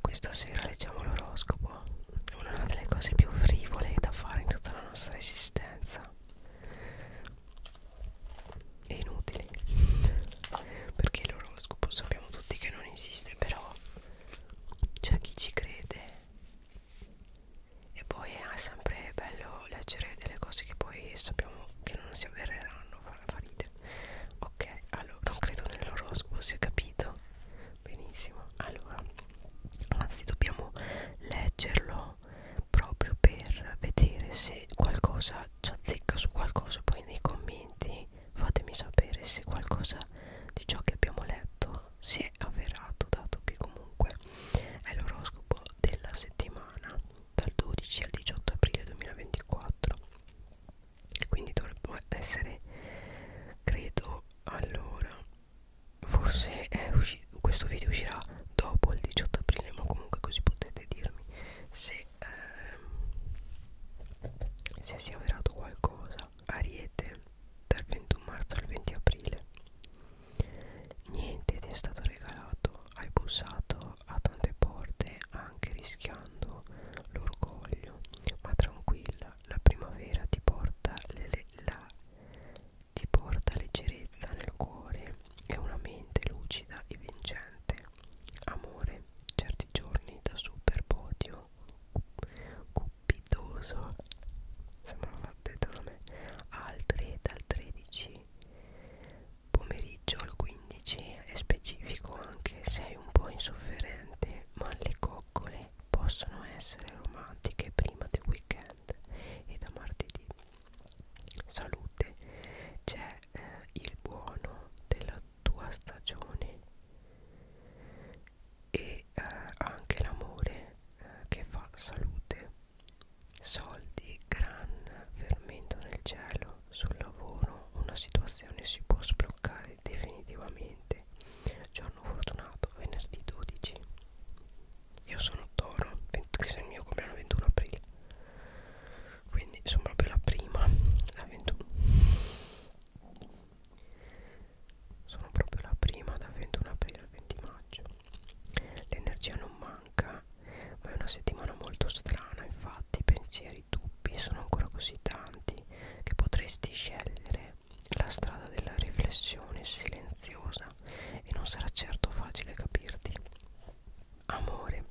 questa sera leggiamo l'oroscopo, una delle cose più frivole da fare in tutta la nostra esistenza. È inutile, perché l'oroscopo sappiamo tutti che non esiste, però c'è chi ci crede. E poi è sempre bello leggere delle cose che poi sappiamo che non si avvereranno, fa ridere. Ok, allora non credo nell'oroscopo, si è capito benissimo allora anzi dobbiamo leggerlo proprio per vedere se qualcosa ci azzecca su qualcosa poi nei commenti fatemi sapere se qualcosa di ciò che abbiamo letto si è avverato dato che comunque è l'oroscopo della settimana dal 12 al 18 aprile 2024 quindi dovrebbe essere credo allora forse è uscito, questo video uscirà dopo il 18 aprile ma comunque così potete dirmi se ehm, se si è avverato qualcosa ariete dal 21 marzo al 20 aprile niente ti è stato regalato hai bussato a tante porte anche rischiando l'orgoglio ma tranquilla, la primavera ti porta, le, le, la, ti porta leggerezza nel cuore e una mente lucida e vincente. Amore, certi giorni da super podio, cupidoso, sembrava detto da me, altri dal 13 pomeriggio al 15 15 è specifico anche sei un po' insofferente ma le coccole possono essere romantiche prima del weekend e da martedì salute c'è eh, il buono della tua stagione e eh, anche l'amore eh, che fa salute soldi gran fermento nel cielo sul lavoro una situazione si può sbloccare definitivamente. Giorno fortunato, venerdì 12. Io sono Toro, che se il mio compleanno 21 aprile. Quindi sono proprio la prima, la 21. Sono proprio la prima dal 21 aprile al 20 maggio. L'energia non manca, ma è una settimana molto strana, infatti i pensieri i dubbi sono ancora così tanti che potresti scegliere la strada della riflessione silenziosa e non sarà certo facile capirti. Amore,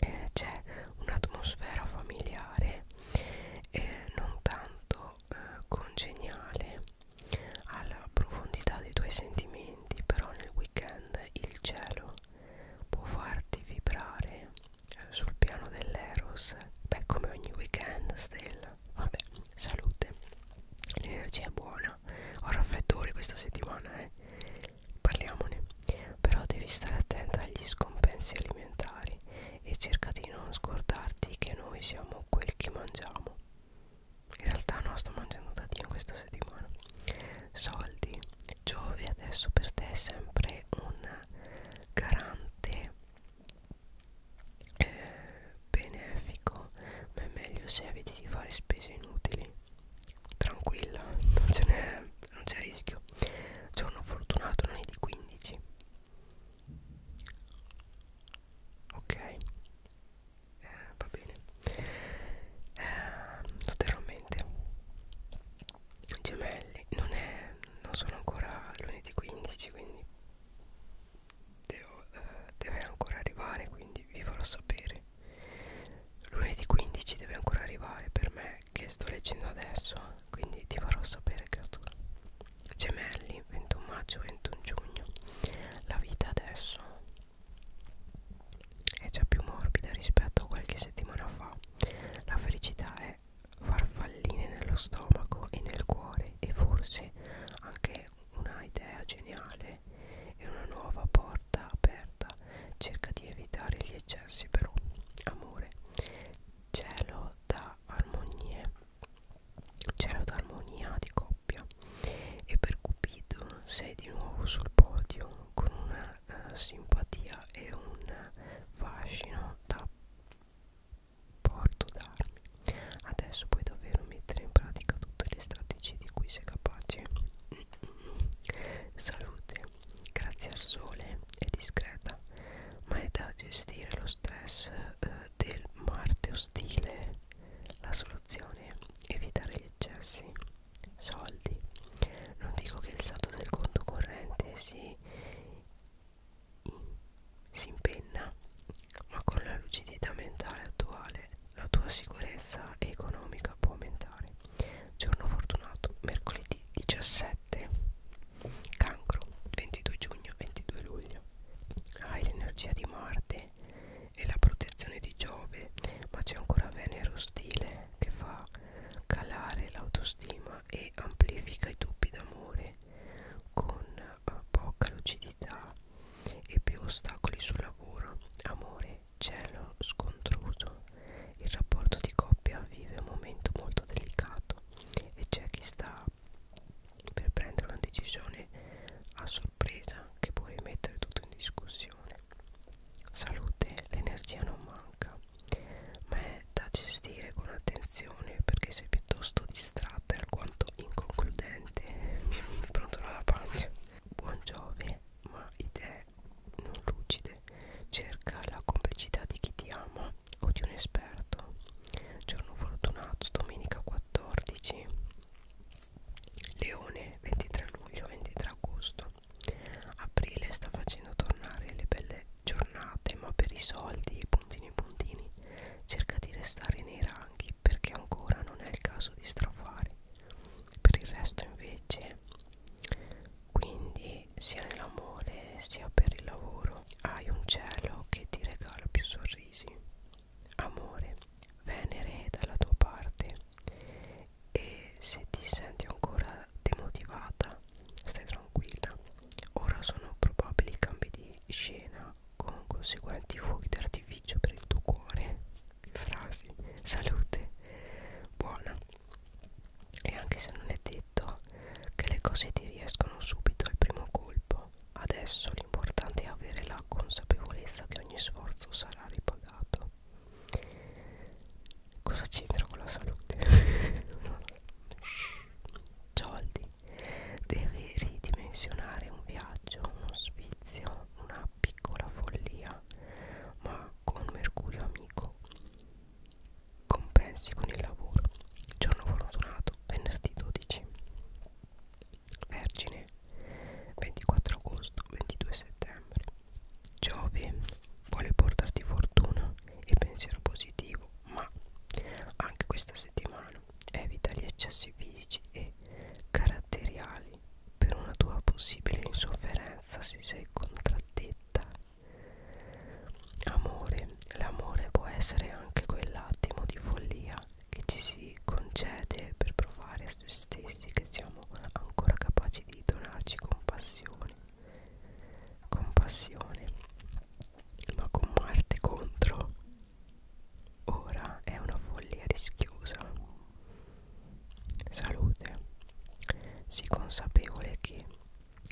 eh, c'è un'atmosfera familiare e eh, non tanto eh, congeniale alla profondità dei tuoi sentimenti, però nel weekend il cielo può farti vibrare eh, sul piano dell'eros beh come ogni weekend stella vabbè salute l'energia è buona ho raffreddori questa settimana eh parliamone però devi stare attenta agli scompensi alimentari e cerca di non scordarti che noi siamo quel che mangiamo in realtà no sto mangiando da dio questa settimana soldi Giove adesso per te è sempre un garante eh, benefico, ma è meglio se eviti di fare spese inutili. Tranquilla, non c'è rischio. Giorno fortunato non è di 15. Ok, eh, va bene. Eh, lo terrò a mente gemelli non è non sono ancora lunedì 15 quindi devo, eh, deve ancora arrivare quindi vi farò sapere lunedì 15 deve ancora arrivare per me che sto leggendo adesso quindi ti farò sapere creatura gemelli 21 maggio 21 giugno la vita adesso è già più morbida rispetto a qualche settimana fa. La felicità è farfalline nello stomaco e nel cuore e forse anche una idea geniale e una nuova porta aperta. Cerca di evitare gli eccessi però. Amore, cielo da armonie, cielo da armonia di coppia e per Cupido sei di nuovo sul podio con una eh, simpatia e un fascino da porto d'armi. Adesso puoi davvero mettere in pratica tutte le strategie di cui sei capace. Salute, grazie al sole, è discreta, ma è da gestire lo stress eh, del Marte ostile. La soluzione è evitare gli eccessi soldi non dico che il saldo del conto corrente si, si impenna ma con la lucidità mentale attuale la tua sicurezza economica può aumentare giorno fortunato mercoledì 17 cancro 22 giugno 22 luglio hai l'energia di marte e la protezione di Giove, ma c'è ancora Venere ostile che fa calare l'autostima e amplifica i dubbi d'amore con eh, poca lucidità e più ostacoli sul lavoro, amore, cielo scontroso. Il rapporto di coppia vive un momento molto delicato e c'è chi sta per prendere una decisione a sorpresa che può rimettere tutto in discussione. Salute, l'energia non manca, ma è da gestire con attenzione perché sei piuttosto distratta e alquanto inconcludente. Mi prontola la pancia. Buon Giove, ma idee non lucide. Cerca la complicità di chi ti ama o di un esperto. Giorno fortunato, domenica 14. Leone 23 luglio 23 agosto aprile sta facendo tornare le belle giornate ma per i soldi e puntini puntini cerca di restare nei ranghi perché ancora non è il caso di strafare per il resto invece quindi sia nell'amore sia per il lavoro hai un cielo che ti regala più sorrisi Amore, Venere è dalla tua parte e se ti senti ancora demotivata, stai tranquilla. Ora sono probabili cambi di scena con conseguenti fuochi d'artificio per il tuo cuore. Frasi, salute, buona. E anche se non è detto che le cose ti riescono subito al primo colpo, adesso l'importante è avere la consapevolezza che ogni sforzo sarà sarà ripagato cosa c'entra con la salute? soldi deve ridimensionare un viaggio un ospizio una piccola follia ma con mercurio amico compensi con il lavoro giorno fortunato venerdì 12 Vergine 24 agosto 22 settembre Giove vuole portarti fortuna e pensiero positivo ma anche questa settimana evita gli eccessi fisici e caratteriali per una tua possibile insofferenza se sei contraddetta Amore, l'amore può essere anche quell'attimo di follia che ci si concede per provare a se stessi che siamo ancora capaci di donarci compassione compassione ma con Marte contro ora è una follia rischiosa salute si consapevole che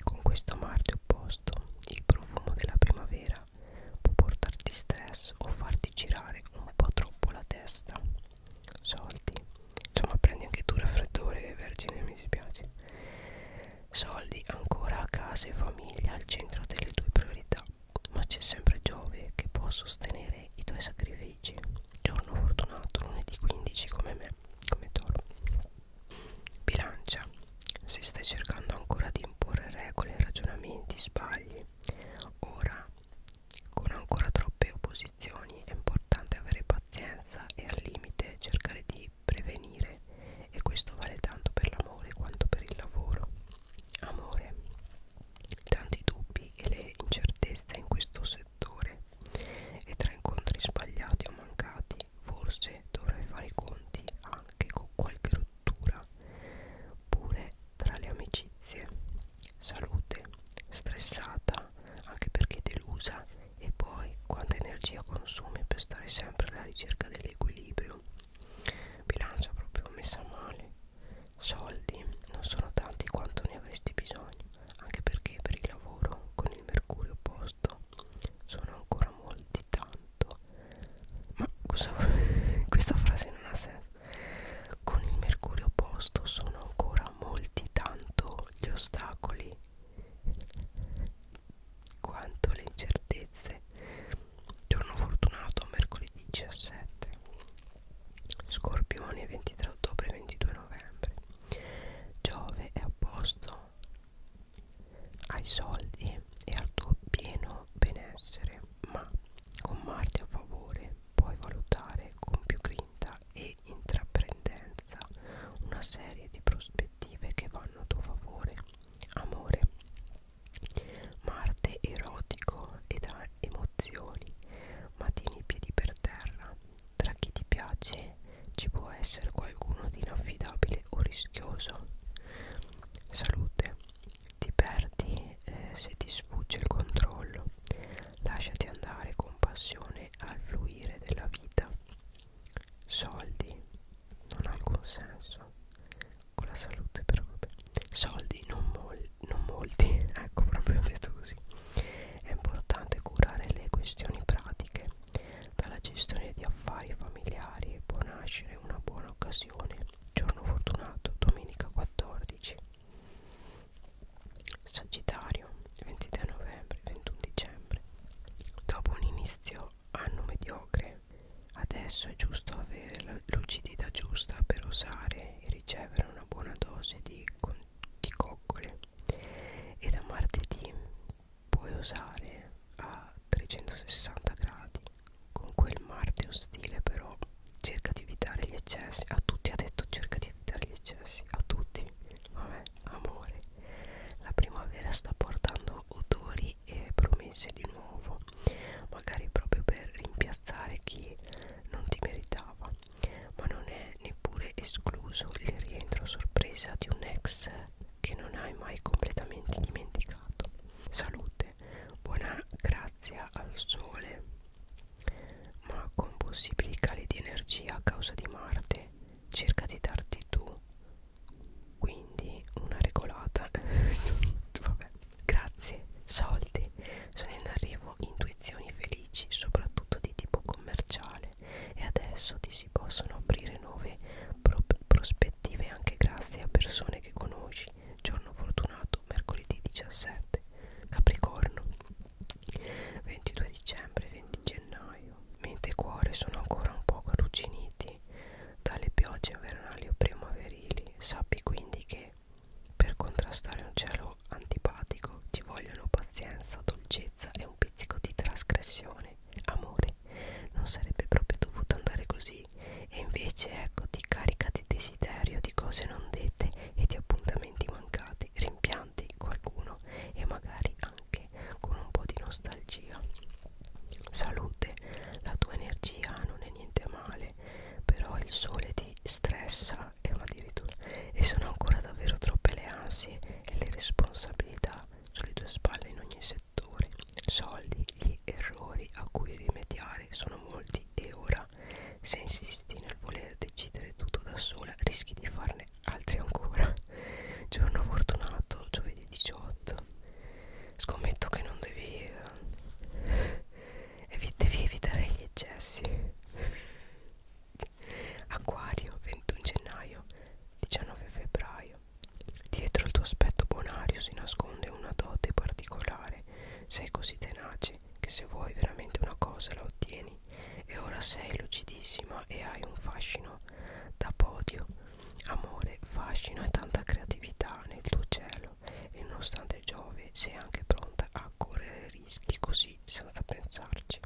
con questo Marte opposto il profumo della primavera può portarti stress o farti girare un po' troppo la testa soldi insomma prendi anche tu raffreddore vergine mi dispiace soldi ancora a casa e famiglia al centro delle tue priorità ma c'è sempre Giove che può sostenere i tuoi sacrifici giorno fortunato lunedì 15 come me come toro bilancia se stai cercando ancora di imporre regole ragionamenti sbagli anni. Ora, con ancora troppe opposizioni, è importante avere pazienza e al limite cercare di prevenire e questo vale tanto per l'amore quanto per il lavoro. Amore, tanti dubbi e le incertezze in questo settore e tra incontri sbagliati o mancati forse dovrai fare i conti anche con qualche rottura pure tra le amicizie salute stressata anche perché delusa e poi quanta energia consumi per stare sempre alla ricerca dell'equilibrio bilancia proprio messa male soldi non sono tanti quanto ne avresti bisogno anche perché per il lavoro con il mercurio opposto sono ancora molti tanti tutto ma cosa questa frase non ha senso con il mercurio opposto sono ancora molti tanto gli ostacoli quanto le incertezze giorno fortunato mercoledì 17 scorpione 23 ottobre 22 novembre giove è opposto ai soldi e al tuo pieno benessere, ma con Marte a favore puoi valutare con più grinta e intraprendenza una serie di prospettive che vanno a tuo favore. Amore. Marte erotico ed ha emozioni, ma tieni i piedi per terra. Tra chi ti piace ci può essere qualcuno di inaffidabile o rischioso. Salute ti perdi eh, se ti sfugge il controllo lasciati andare con passione al fluire della vita soldi non ha alcun senso con la salute però vabbè soldi non, mol non molti ecco proprio detto così è importante curare le questioni pratiche dalla gestione di affari familiari può nascere una buona l'occasione giorno fortunato domenica 14 sagittario 23 novembre 21 dicembre dopo un inizio anno mediocre adesso è giusto avere la lucidità giusta per osare e ricevere una buona dose di, di coccole e da martedì puoi usare a 360 gradi con quel Marte ostile però cerca di evitare gli eccessi a tutti ha detto cerca di evitare gli eccessi a tutti vabbè amore la primavera sta portando odori e promesse di nuovo magari proprio per rimpiazzare chi non ti meritava ma non è neppure escluso il rientro sorpresa di un ex che non hai mai completamente dimenticato. Salute, buona grazia al sole, ma con possibili cali di energia a causa di Marte, cerca di darti tu. Quindi una regolata. Vabbè. Grazie, soldi. Sono in arrivo intuizioni felici, soprattutto di tipo commerciale. E adesso ti si possono aprire nuove pro prospettive anche grazie a persone che conosci. Giorno fortunato, mercoledì 17. Capricorno, 22 dicembre, 20 gennaio. Mente e cuore sono ancora un poco arrugginiti dalle piogge invernali o primaverili. Sappi quindi che per contrastare un cielo antipatico ci vogliono pazienza, dolcezza e un pizzico di trasgressione amore non sarebbe proprio dovuto andare così e invece ecco ti carica di desiderio di cose non dette e di appuntamenti mancati rimpianti qualcuno e magari anche con un po' di nostalgia salute la tua energia non è niente male però il sole ti stressa e addirittura e sono ancora davvero troppe le ansie e le responsabilità sulle tue spalle in ogni settore settori soldi gli errori a cui rimediare sono molti e ora se insisti nel voler decidere tutto da sola rischi di farne altri ancora giorno fortunato giovedì 18 scommetto che non devi eh, evi devi evitare gli eccessi acquario 21 gennaio 19 febbraio Dietro il tuo aspetto bonario si nasconde una dote particolare. Sei così tenace che se vuoi veramente una cosa la ottieni. E ora sei lucidissima e hai un fascino da podio. Amore, fascino e tanta creatività nel tuo cielo. E nonostante Giove sei anche pronta a correre rischi così senza pensarci felice.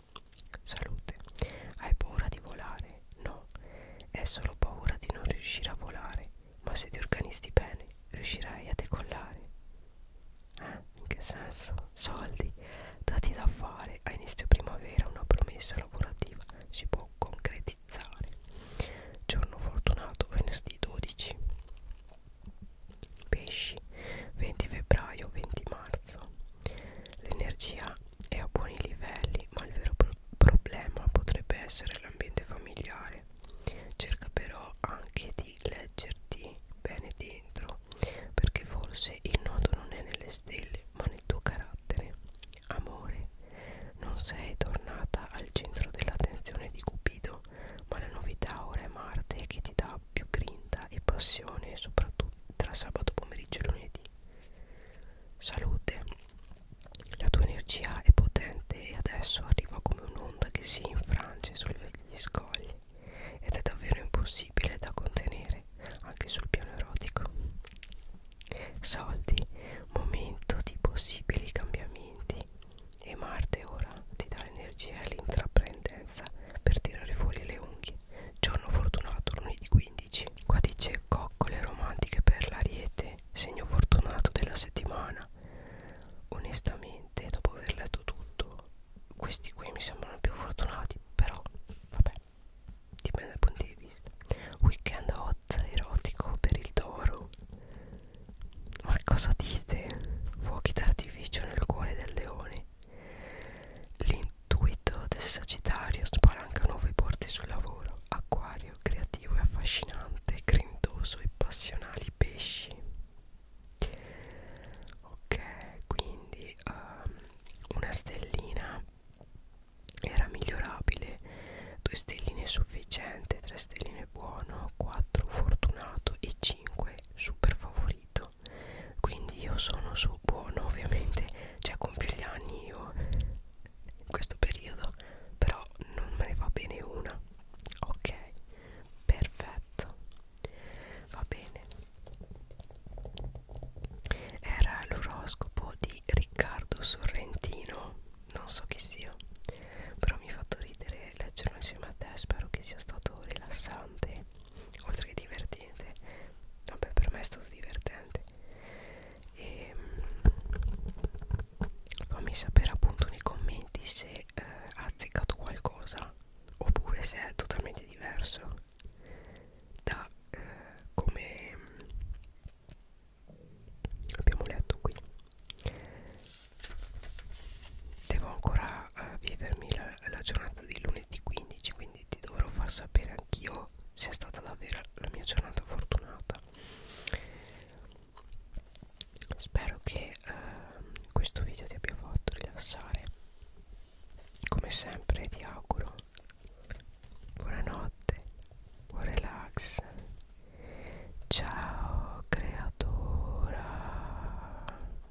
Salute. Hai paura di volare? No, è solo paura di non riuscire a volare. Ma se ti organizzi bene, riuscirai a decollare. Eh? In che senso? Soldi dati da fare a inizio primavera, una promessa lavorativa si può concretizzare. Giorno fortunato, venerdì 12. Pesci, 20 febbraio, 20 marzo. L'energia è a buoni livelli, ma il vero pro problema potrebbe essere l'ambiente familiare. Cerca però anche di leggerti bene dentro, perché forse il nodo non è nelle stelle, ma nel tuo carattere. Amore, non sei tornata al centro dell'attenzione di Cupido, ma la novità ora è Marte che ti dà più grinta e passione, soprattutto tra sabato pomeriggio e lunedì. Salute, la tua energia è potente e adesso arriva come un'onda che si infrange sugli scogli ed è davvero impossibile da contenere anche sul piano erotico. Soldi, momento di possibili cambiamenti e Marte ora ti dà l'energia e l'intraprendenza per tirare fuori le unghie. Giorno fortunato lunedì 15. 15 Qua dice coccole romantiche per l'ariete Segno fortunato della settimana Onestamente dopo aver letto tutto Questi qui mi sembrano più fortunati Però vabbè Dipende dal punto di vista Weekend hot erotico per il toro Ma cosa dite? Fuochi d'artificio nel cuore del leone L'intuito del Sagittario spalanca nuove porte sul lavoro, acquario, creativo e affascinante, grintoso e passionali pesci. Ok, quindi um, una stellina era migliorabile, due stelline sufficiente, tre stelline buono, 4 fortunato e 5 super favorito quindi io sono su buono ovviamente cioè compio gli anni io in questo periodo però non me ne va bene una ok perfetto va bene era l'oroscopo di Riccardo Sorrentino non so chi sia però mi ha fatto ridere leggerlo insieme a te spero che sia stato rilassante oltre che divertente vabbè per me è stato divertente e mm, fammi sapere appunto nei commenti se eh, ha azzeccato qualcosa oppure se è totalmente diverso da eh, come mm, abbiamo letto qui devo ancora eh, vivermi la, eh, la giornata di lunedì 15 quindi ti dovrò far sapere anch'io se è stata davvero la mia giornata fortunata spero che eh, questo video ti abbia fatto rilassare come sempre ti auguro buonanotte buon relax ciao creatura